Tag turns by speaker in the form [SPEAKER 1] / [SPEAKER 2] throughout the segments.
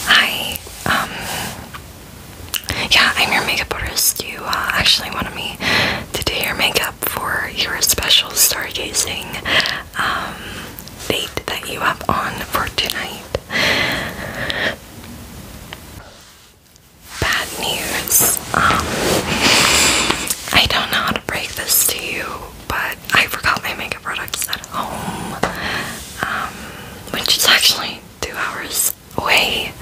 [SPEAKER 1] Hi, um, yeah, I'm your makeup artist. You uh, actually wanted me to do your makeup for your special stargazing um, date that you have on for tonight. Bad news. Um, I don't know how to break this to you, but I forgot my makeup products at home. Um, which is actually two hours away.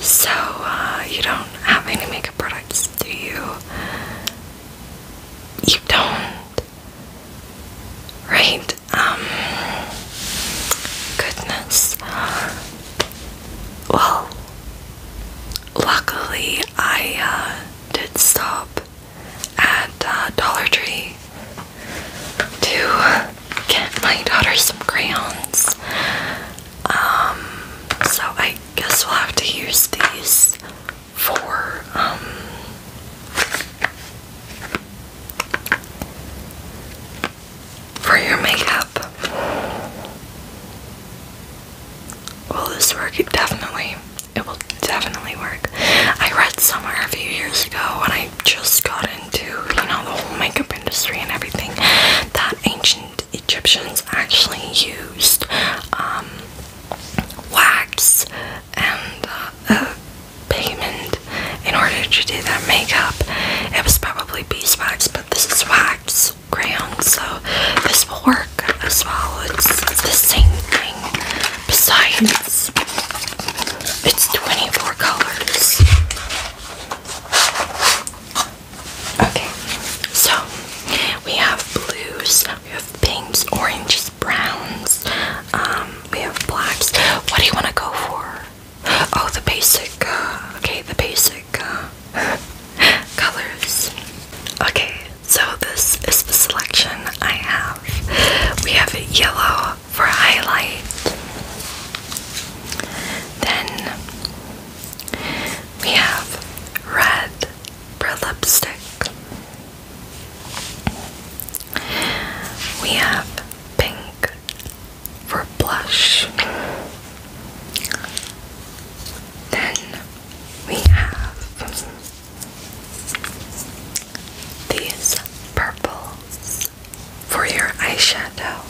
[SPEAKER 1] So, uh, you don't have any makeup products, do you? You don't. Right? Um. Goodness. Well, luckily I uh, did stop at uh, Dollar Tree to get my daughter some crayons. Um, so I guess we'll have to use these for, um, for your makeup. Will this work? It definitely. It will definitely work. I read somewhere a few years ago when I just got into, you know, the whole makeup industry and everything that ancient Egyptians actually used um, wax and uh, uh pigment in order to do their makeup. It was probably beeswax, but this is wax crayon, so this will work as well. it's the same thing. Besides, it's 24 colors. Okay, so we have blues, we have pinks, oranges, browns, um, we have blacks. What do you want to go for? Oh, the basic, uh, okay, the basic uh, colors. Okay, so this is the selection I have. We have a yellow, for highlight. Then we have red for lipstick. We have pink for blush. Then we have these purple for your eyeshadow.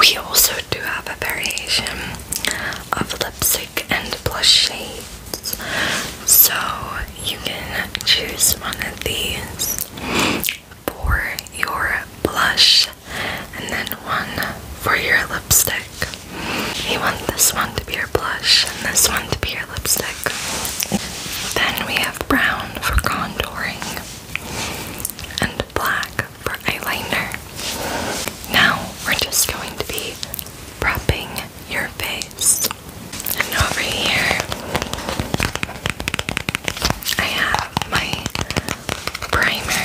[SPEAKER 1] We also do have a variation of lipstick and blush shades, so you can choose one of these for your blush and then one for your lipstick. You want this one to be your blush and this one to be your lipstick. Then we brown for contouring and black for eyeliner. Now we're just going to be prepping your face. And over here, I have my primer.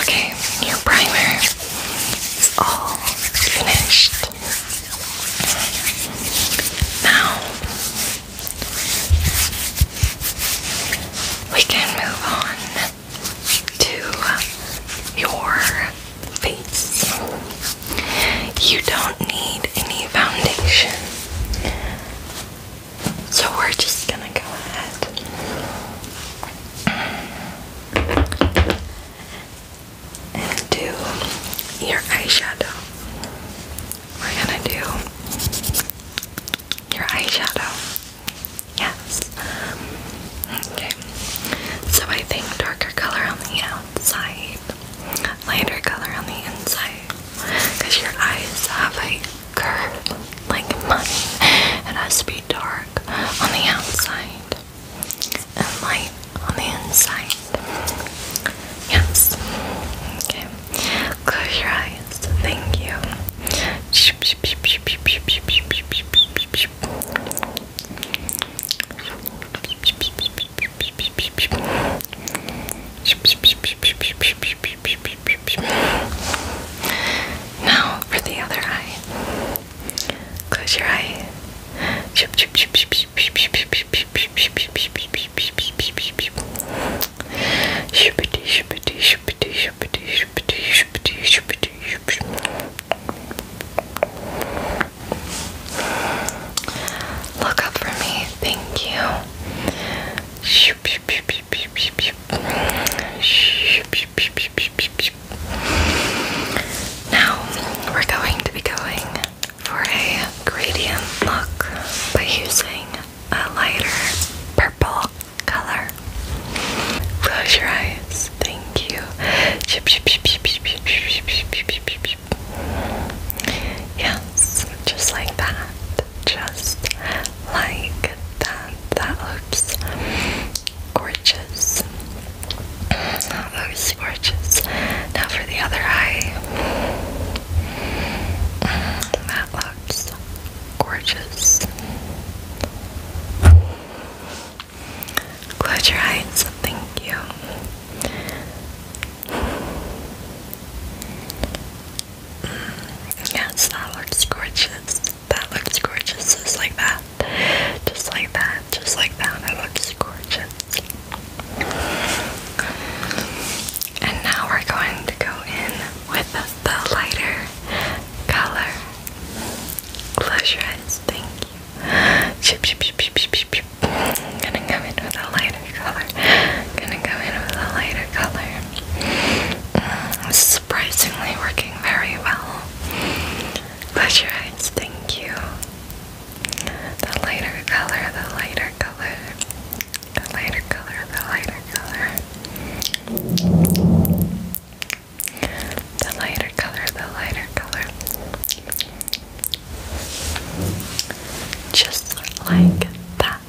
[SPEAKER 1] Okay, your primer is all finished. Now we can move on to your face. You don't need any foundation. So we're just gonna go ahead and do your eyeshadow. We're gonna do your eyeshadow. Yes. Okay. So I think darker color on the outside, lighter color on the inside, because your eyes have a curve like money. It has to be dark on the outside and light on the inside. Yes. Okay. Close your eyes. Thank you. Now for the other eye. Close your eye. Look up for me. Thank you. Shh. Now we're going to be going for a gradient look by using a lighter purple color. Close your eyes. Thank you. Yes, just like that. Just like that that looks gorgeous. looks gorgeous. Now for the other eye. That looks gorgeous. Close your eyes. Thank you. Mm, yes, that looks gorgeous. That looks gorgeous, just like that. Just like that, just like that. It looks gorgeous. And now we're going to go in with the lighter color. Close your eyes, thank you. Shoop, shoop, shoop, shoop, shoop, shoop. I'm gonna come in with a lighter color. I'm gonna go in with a lighter color. Mm, so surprisingly working very well. Close your eyes, thank you. The lighter color, the lighter color, the lighter color, the lighter color. The lighter color, the lighter color. Just like that.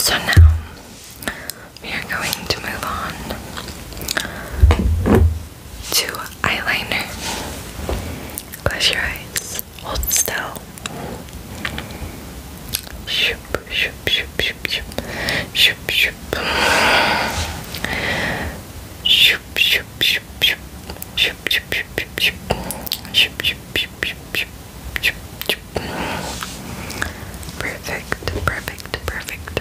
[SPEAKER 1] So now we are going to move on to eyeliner. Close your eyes. Hold still. Shoop, shoop, shoop, shoop, shoop. Shoop, shoop. Shoop, shoop, shoop, shoop. Shoop, shoop, shoop, shoop, shoop. Shoop, shoop, shoop, shoop, shoop. Perfect, perfect, perfect,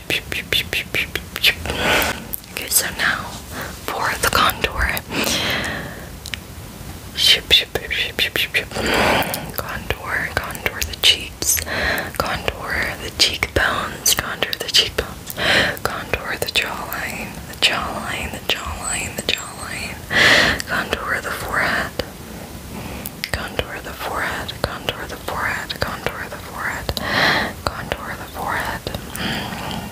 [SPEAKER 1] Okay, so now for the contour. Contour, contour the cheeks, contour the cheekbones, contour the cheekbones, contour the jawline, the jawline, the jawline, the jawline, contour the forehead. Contour the forehead, contour the forehead, contour the forehead, contour the forehead. Mm,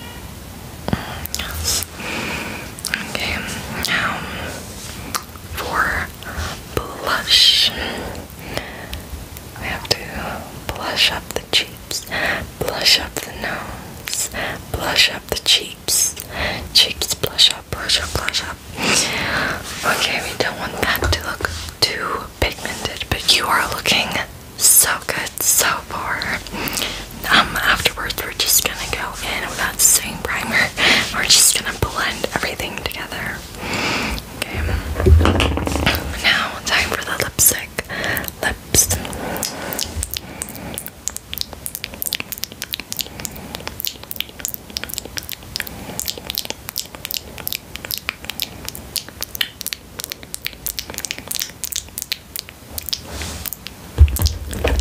[SPEAKER 1] mm, okay, now for blush, we have to blush up the cheeks, blush up the nose, blush up the cheeks, cheeks blush up, blush up, blush up. Okay, we don't want that to look too pigmented, but you are looking so good so far. Um, afterwards, we're just gonna go in without the same primer. We're just gonna blend everything together. Okay. Now, time for the lipstick. Lips.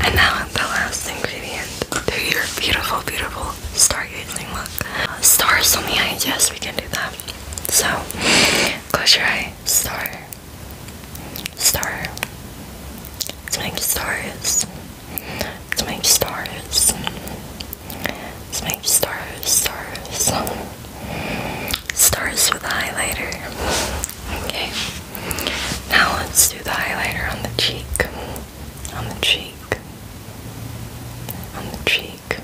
[SPEAKER 1] And now the last ingredient to your beautiful, beautiful stargazing look. Stars on the eyes. yes, we can do that. So, close your eyes. star, star. Let's make stars. Let's make stars. Let's stars, stars, stars with highlighter. Okay. Now let's do the highlighter on the cheek, on the cheek, on the cheek,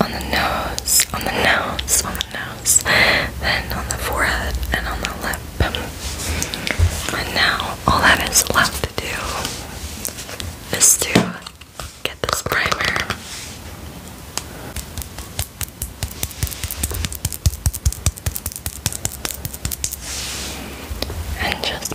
[SPEAKER 1] on the nose, on the nose, on the nose, then on the forehead and on the lip. And now all that is left to do is to get this primer. And just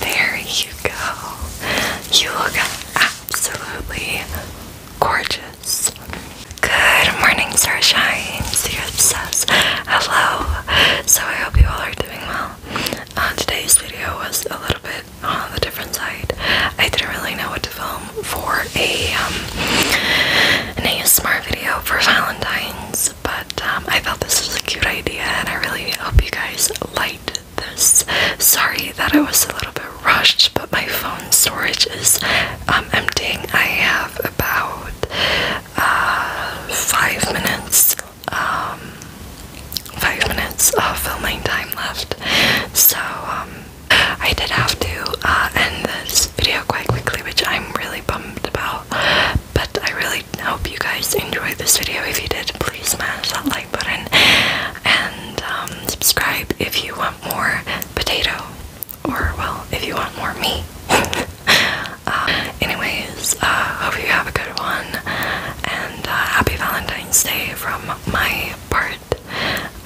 [SPEAKER 1] There you go. You look absolutely gorgeous. Good morning, Starshine. Sirius says hello. So I hope you all are doing well. Uh, today's video was a little bit on the different side. I didn't really know what to film for a um, an ASMR video for Valentine's, but um, I thought this was a cute idea, and I really hope you guys liked this. Sorry that I was a little bit rushed, but my phone storage is um, emptying. I have about uh, five minutes, um, five minutes of filming time left. So um, I did have to uh, end this video quite quickly, which I'm really bummed about. But I really hope you guys enjoyed this video. If you did, please smash that like button and um, subscribe if you want more potato, or well, if you want more meat. Uh, anyways, uh, hope you have a good one, and uh, happy Valentine's Day from my part.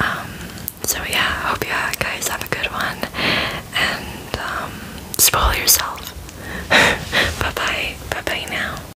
[SPEAKER 1] Um, so yeah, hope you guys have a good one, and um, spoil yourself. bye bye, bye bye now.